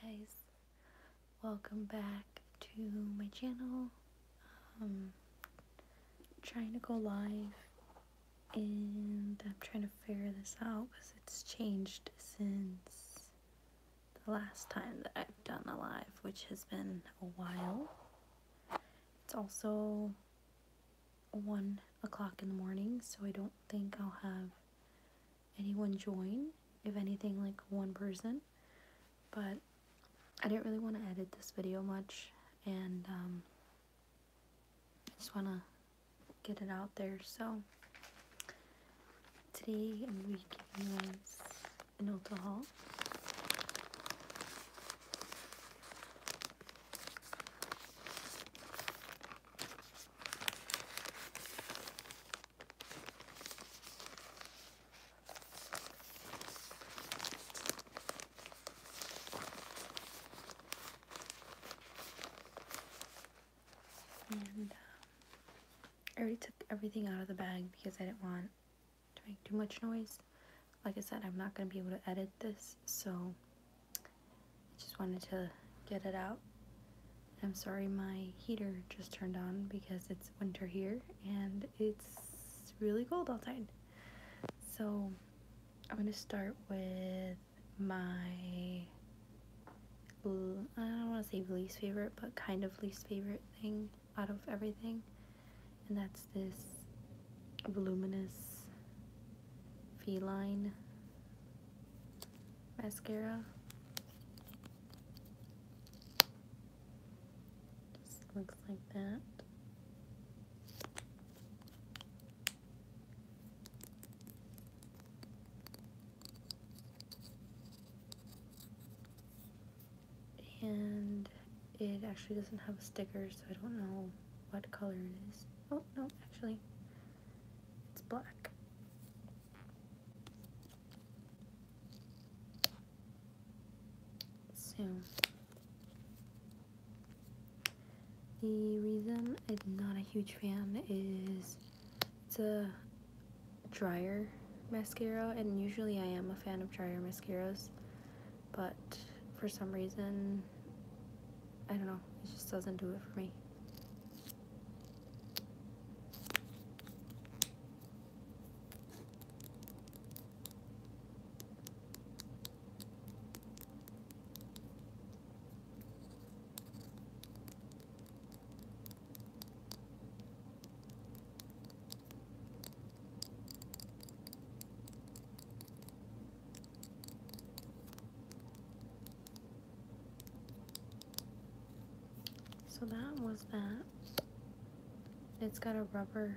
Hey guys, welcome back to my channel. Um, trying to go live, and I'm trying to figure this out because it's changed since the last time that I've done a live, which has been a while. It's also 1 o'clock in the morning, so I don't think I'll have anyone join, if anything, like one person. But I didn't really want to edit this video much, and um, I just want to get it out there. So today I'm going to be giving you guys an Ulta um, I already took everything out of the bag because I didn't want to make too much noise. Like I said, I'm not going to be able to edit this, so I just wanted to get it out. I'm sorry my heater just turned on because it's winter here and it's really cold outside. So I'm going to start with my, I don't want to say least favorite, but kind of least favorite thing out of everything. And that's this voluminous feline mascara. Just looks like that. And it actually doesn't have a sticker, so I don't know what color it is. Oh, no, actually, it's black. So the reason I'm not a huge fan is it's a drier mascara and usually I am a fan of drier mascaras but for some reason I don't know, it just doesn't do it for me. So that was that. It's got a rubber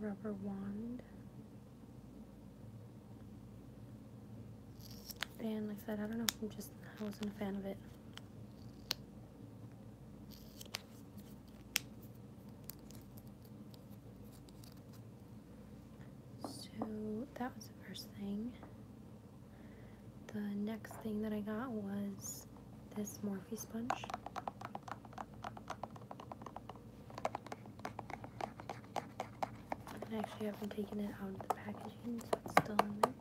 rubber wand. And like I said, I don't know I'm just I wasn't a fan of it. So that was the first thing. The next thing that I got was this Morphe sponge. I actually haven't taken it out of the packaging, so it's still in there.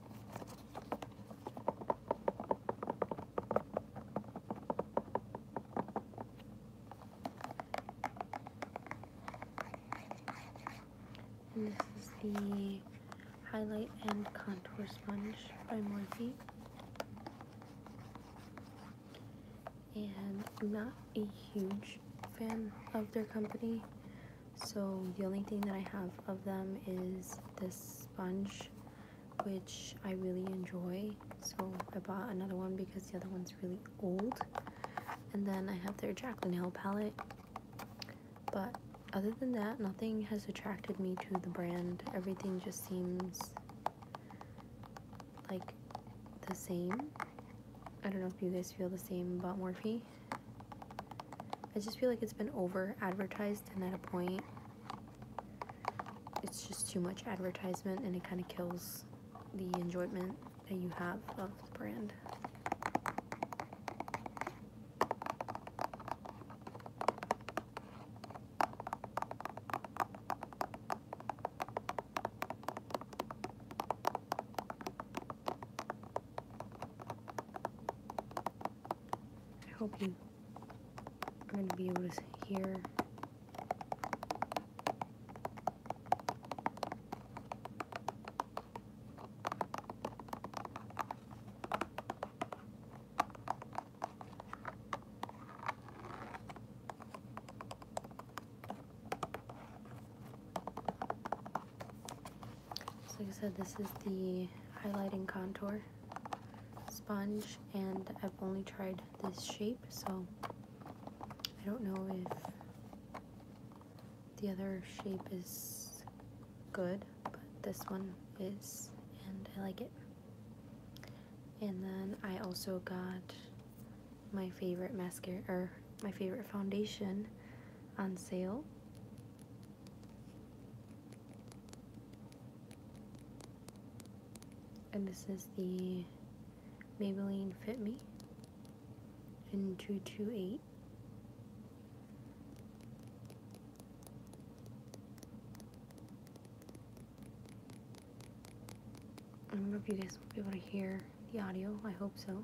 And this is the Highlight and Contour Sponge by Morphe. And I'm not a huge fan of their company, so the only thing that I have of them is this sponge, which I really enjoy so I bought another one because the other one's really old and then I have their Jaclyn Hill palette but other than that nothing has attracted me to the brand everything just seems like the same I don't know if you guys feel the same about Morphe I just feel like it's been over advertised and at a point it's just too much advertisement and it kind of kills the enjoyment that you have of the brand. I hope you are going to be able to hear so like I said, this is the highlighting contour sponge and I've only tried this shape so I don't know if the other shape is good, but this one is, and I like it. And then I also got my favorite mascara, or my favorite foundation on sale. And this is the Maybelline Fit Me in 228. I don't know if you guys will be able to hear the audio. I hope so.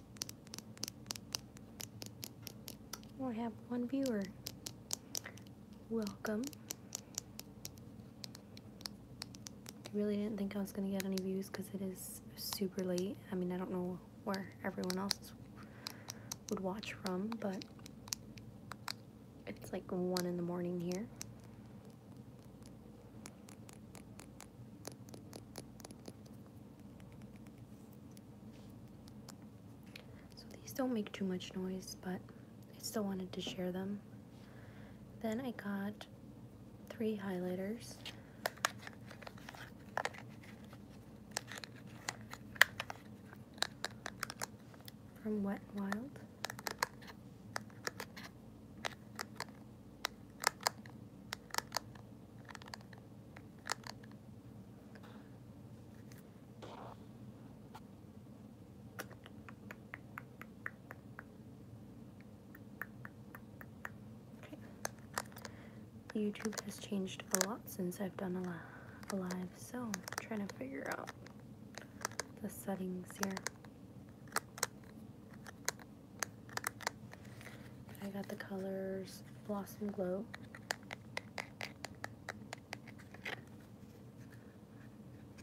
I have one viewer. Welcome. I Really didn't think I was gonna get any views because it is super late. I mean, I don't know where everyone else would watch from, but it's like one in the morning here. So these don't make too much noise, but I still wanted to share them. Then I got three highlighters. From Wet n Wild. YouTube has changed a lot since I've done a, live, so I'm trying to figure out the settings here. I got the colors Blossom Glow,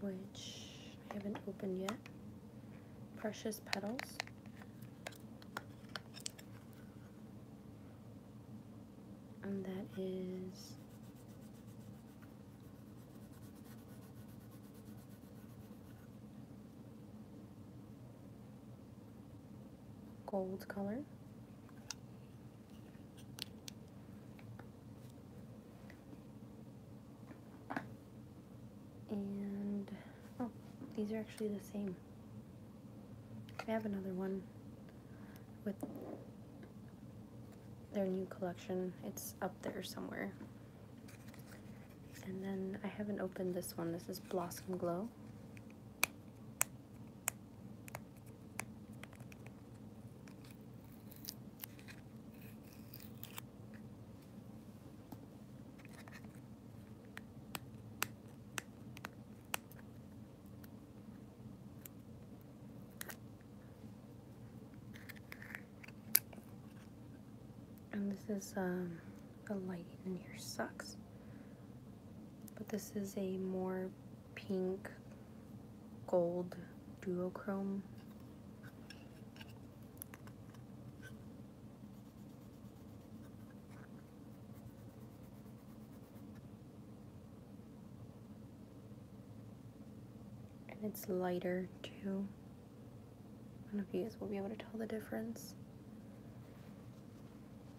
which I haven't opened yet. Precious Petals. And that is gold color. And, oh, these are actually the same. I have another one with their new collection. It's up there somewhere. And then I haven't opened this one. This is Blossom Glow. And this is um the light in here sucks. But this is a more pink gold duochrome. And it's lighter too. I don't know if you guys will be able to tell the difference.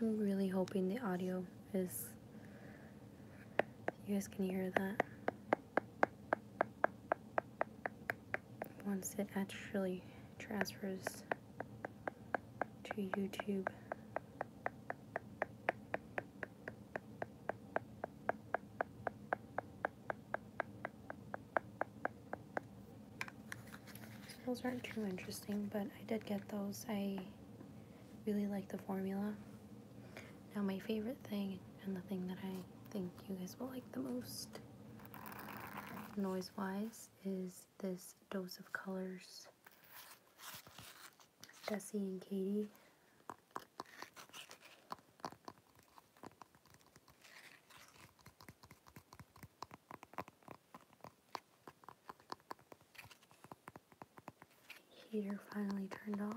I'm really hoping the audio is. You guys can hear that. Once it actually transfers to YouTube. Those aren't too interesting, but I did get those. I really like the formula. Now my favorite thing, and the thing that I think you guys will like the most, noise-wise, is this Dose of Colors Desi and Katie Heater finally turned off.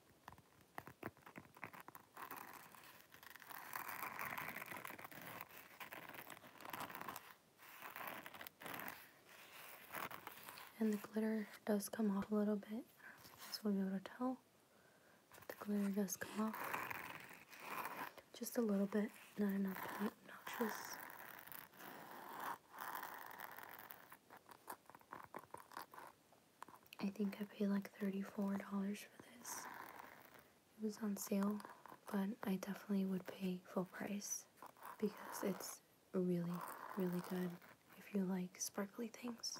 And the glitter does come off a little bit, so we'll be able to tell. the glitter does come off. Just a little bit, not enough to be obnoxious. I think I paid like $34 for this. It was on sale, but I definitely would pay full price because it's really, really good if you like sparkly things.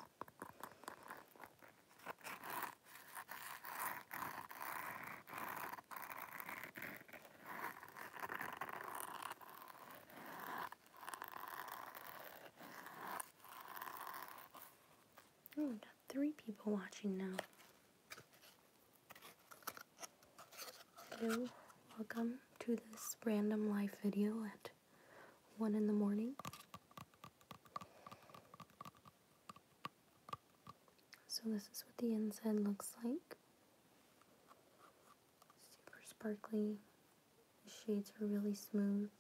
Hmm, three people watching now. Hello, welcome to this random life video at 1 in the morning. So this is what the inside looks like. Super sparkly. The shades are really smooth.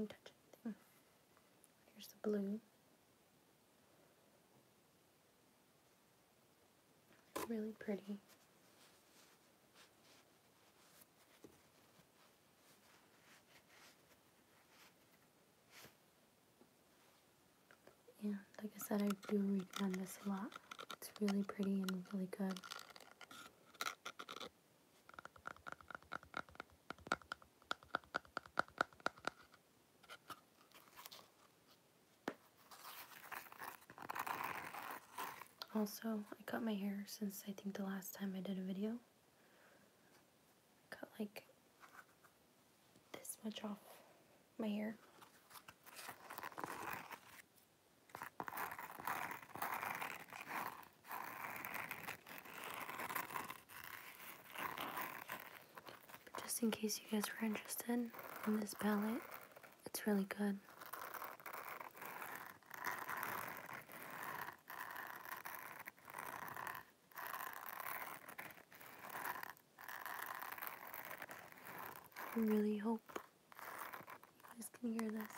I touch oh. Here's the blue. Really pretty. Yeah, like I said, I do recommend this a lot. It's really pretty and really good. Also, I cut my hair since I think the last time I did a video cut like this much off my hair. just in case you guys were interested in this palette, it's really good. I really hope you guys can hear this.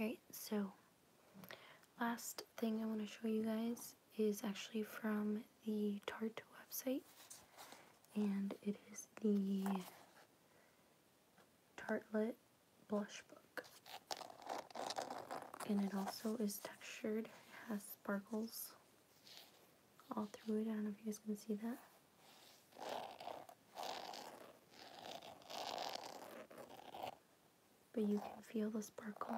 Alright, so last thing I want to show you guys is actually from the Tart website. And it is the Tartlet blush book. And it also is textured, it has sparkles all through it. I don't know if you guys can see that. But you can feel the sparkle.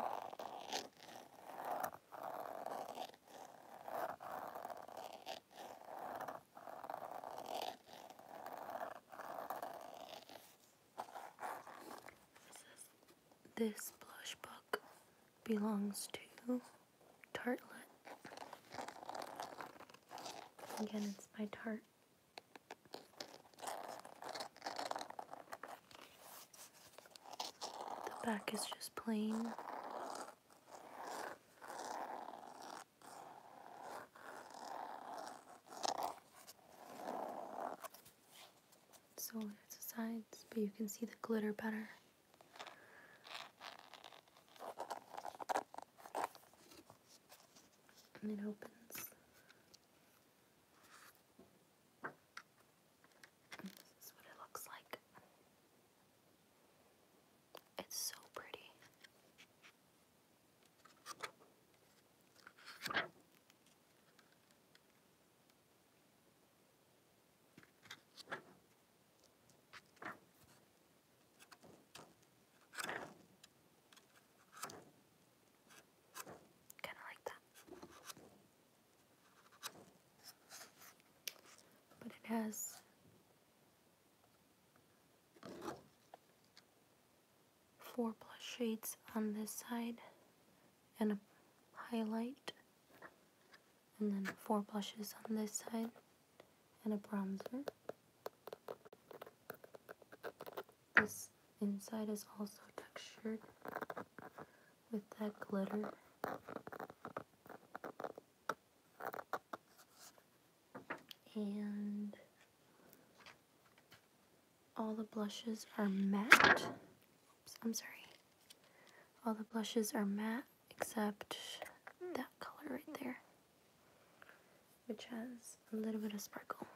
This blush book belongs to Tartlet. Again, it's by Tart. The back is just plain. So it's the sides, but you can see the glitter better. And it opens. this is what it looks like. It's so pretty. Kind of like that. But it has four plus shades on this side and a highlight and then four blushes on this side and a bronzer. This inside is also textured with that glitter. And all the blushes are matte. I'm sorry. All the blushes are matte except that color right there, which has a little bit of sparkle.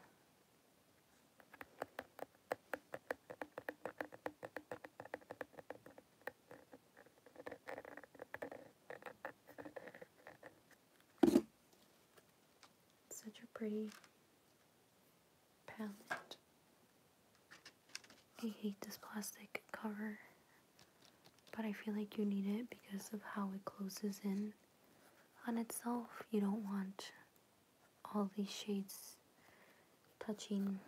Such a pretty palette. I hate this plastic cover, but I feel like you need it because of how it closes in on itself. You don't want all these shades touching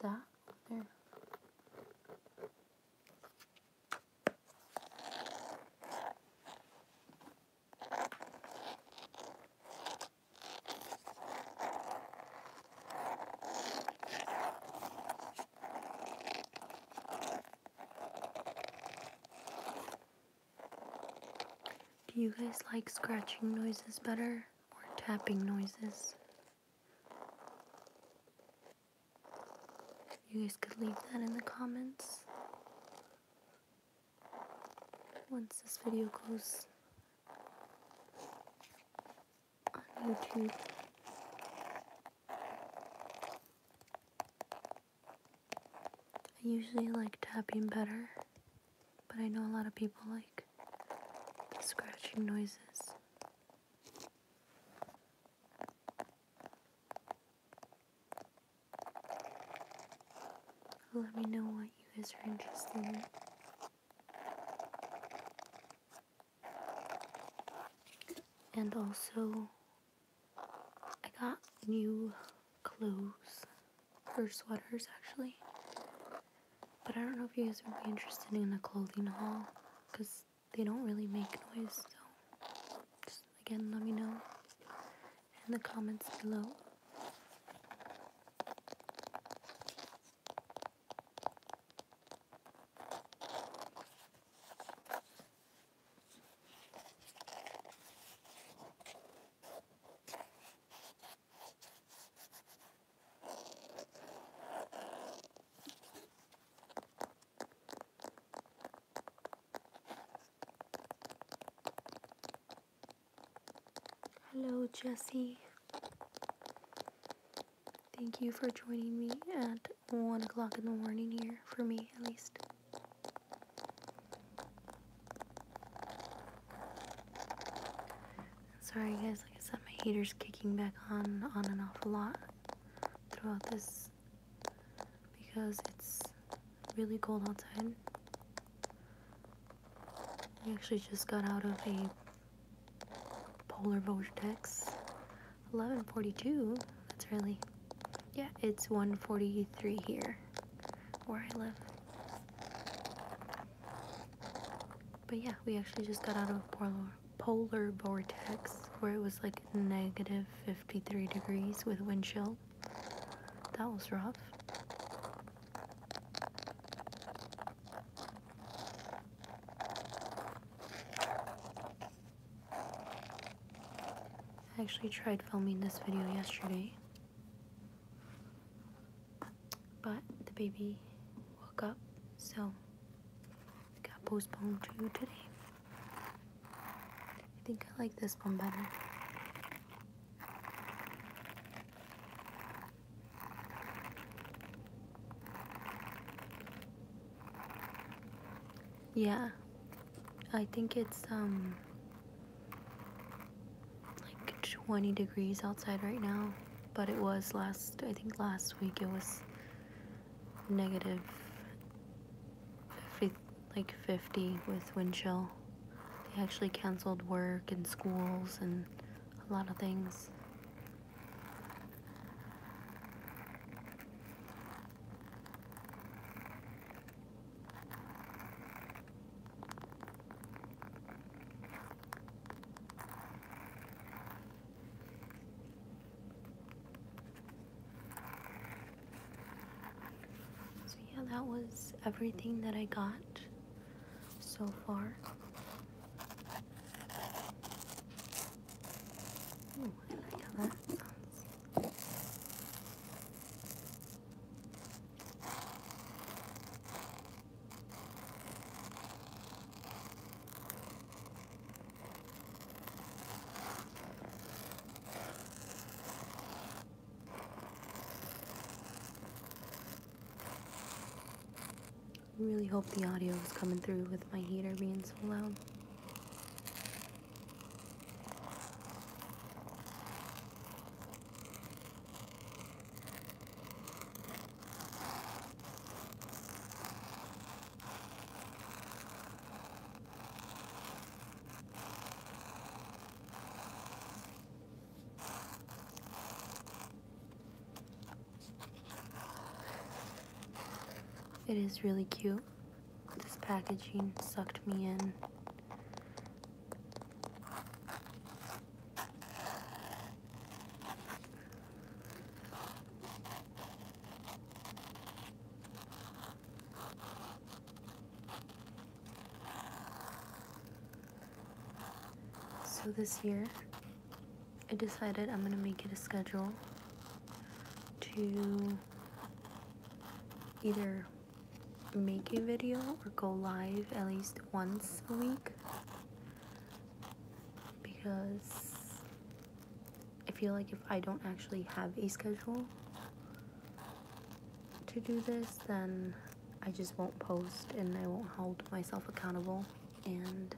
that there. Do you guys like scratching noises better or tapping noises? You guys could leave that in the comments once this video goes on YouTube. I usually like tapping better, but I know a lot of people like scratching noises. Let me know what you guys are interested in. And also, I got new clothes for sweaters actually. But I don't know if you guys would be interested in the clothing haul because they don't really make noise, so Again, let me know in the comments below. Hello, Jesse. Thank you for joining me at 1 o'clock in the morning here, for me at least. Sorry, guys, like I said, my heater's kicking back on, on and off a lot throughout this because it's really cold outside. I actually just got out of a polar vortex. 11:42. That's really. Yeah, it's one forty-three here where I live. But yeah, we actually just got out of polar polar vortex where it was like negative 53 degrees with wind chill. That was rough. I actually tried filming this video yesterday, but the baby woke up, so it got postponed to today. I think I like this one better. Yeah. I think it's um like 20 degrees outside right now, but it was last I think last week it was negative 50 like 50 with wind chill. They actually canceled work and schools and a lot of things. So, yeah, that was everything that I got so far. I really hope the audio is coming through with my heater being so loud. It is really cute. This packaging sucked me in. So this year, I decided I'm gonna make it a schedule to either make a video or go live at least once a week because I feel like if I don't actually have a schedule to do this, then I just won't post and I won't hold myself accountable. And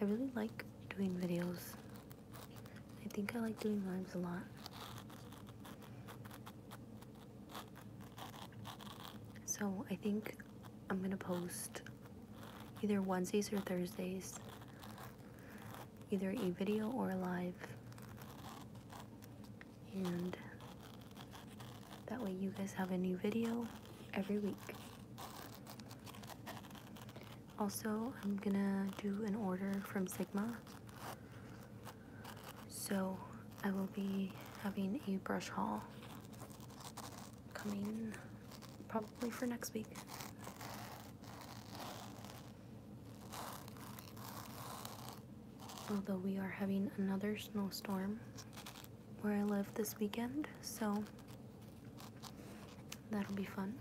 I really like doing videos. I think I like doing lives a lot. So I think I'm gonna post either Wednesdays or Thursdays either a video or live. And that way you guys have a new video every week. Also, I'm gonna do an order from Sigma. So I will be having a brush haul coming probably for next week. Although we are having another snowstorm where I live this weekend, so that'll be fun.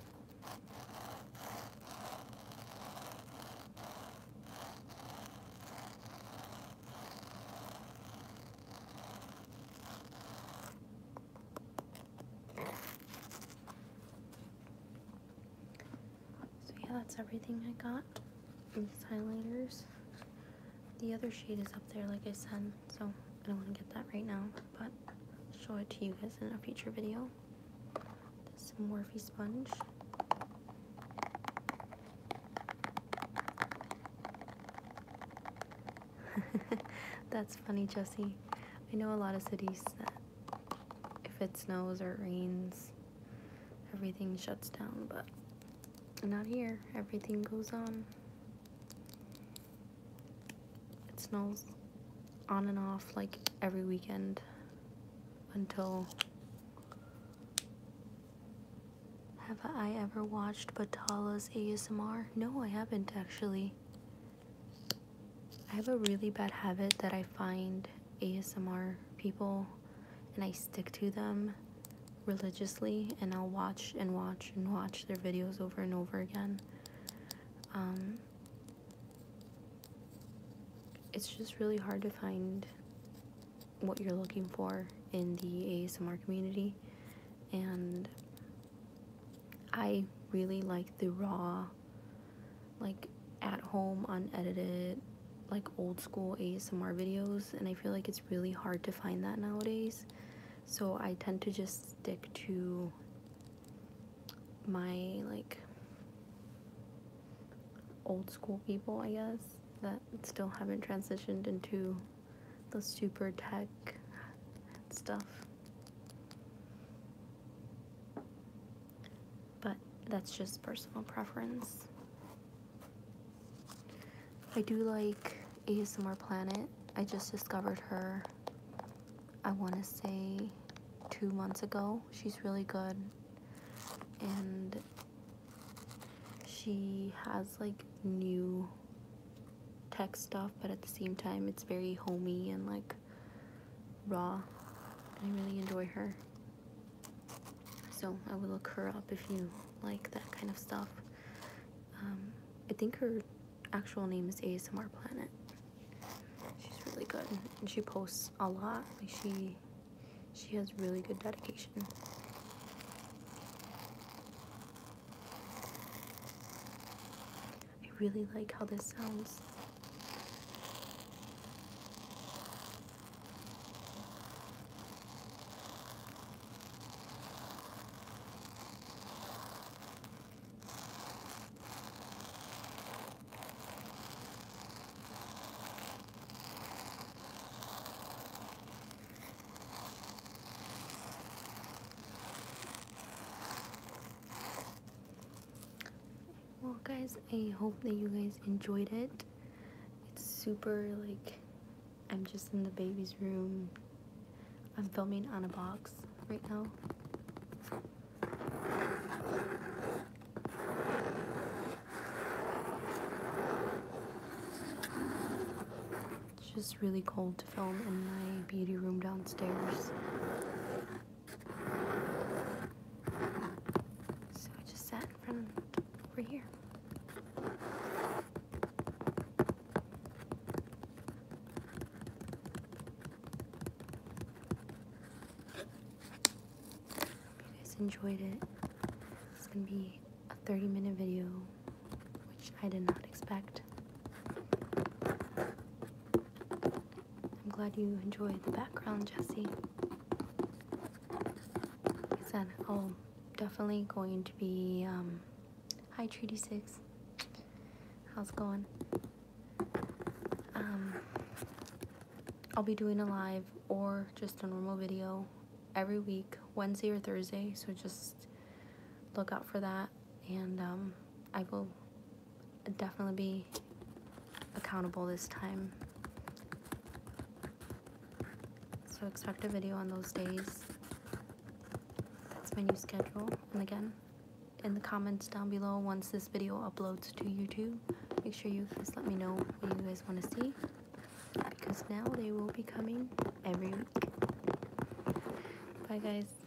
So yeah, that's everything I got. These highlighters. The other shade is up there, like I said, so I don't want to get that right now, but I'll show it to you guys in a future video. This Morphe sponge. That's funny, Jesse. I know a lot of cities that if it snows or it rains, everything shuts down, but not here. Everything goes on. It snows on and off like every weekend until have I ever watched Batala's ASMR? No, I haven't actually. I have a really bad habit that I find ASMR people and I stick to them religiously and I'll watch and watch and watch their videos over and over again. Um, it's just really hard to find what you're looking for in the ASMR community and I really like the raw, like at home, unedited, like old school ASMR videos, and I feel like it's really hard to find that nowadays. So I tend to just stick to my like old school people, I guess, that still haven't transitioned into the super tech stuff. But that's just personal preference. I do like ASMR Planet. I just discovered her, I want to say, two months ago. She's really good. And she has like new tech stuff, but at the same time, it's very homey and like raw. I really enjoy her. So I will look her up if you like that kind of stuff. Um, I think her actual name is ASMR Planet. She's really good and she posts a lot. she she has really good dedication. I really like how this sounds well guys i hope that you guys enjoyed it it's super like i'm just in the baby's room i'm filming on a box right now it's just really cold to film in my beauty room downstairs so I just sat in front of it over here. you guys enjoyed it. It's gonna be a 30 minute video, which I did not expect. I'm glad you enjoy the background, Jesse. Like I said, I'll oh, definitely going to be, um, hi Treaty 6, how's it going? Um, I'll be doing a live or just a normal video every week, Wednesday or Thursday, so just look out for that, and, um, I will definitely be accountable this time. So expect a video on those days. That's my new schedule. And again, in the comments down below once this video uploads to YouTube, make sure you just let me know what you guys want to see. Because now they will be coming every week. Bye guys.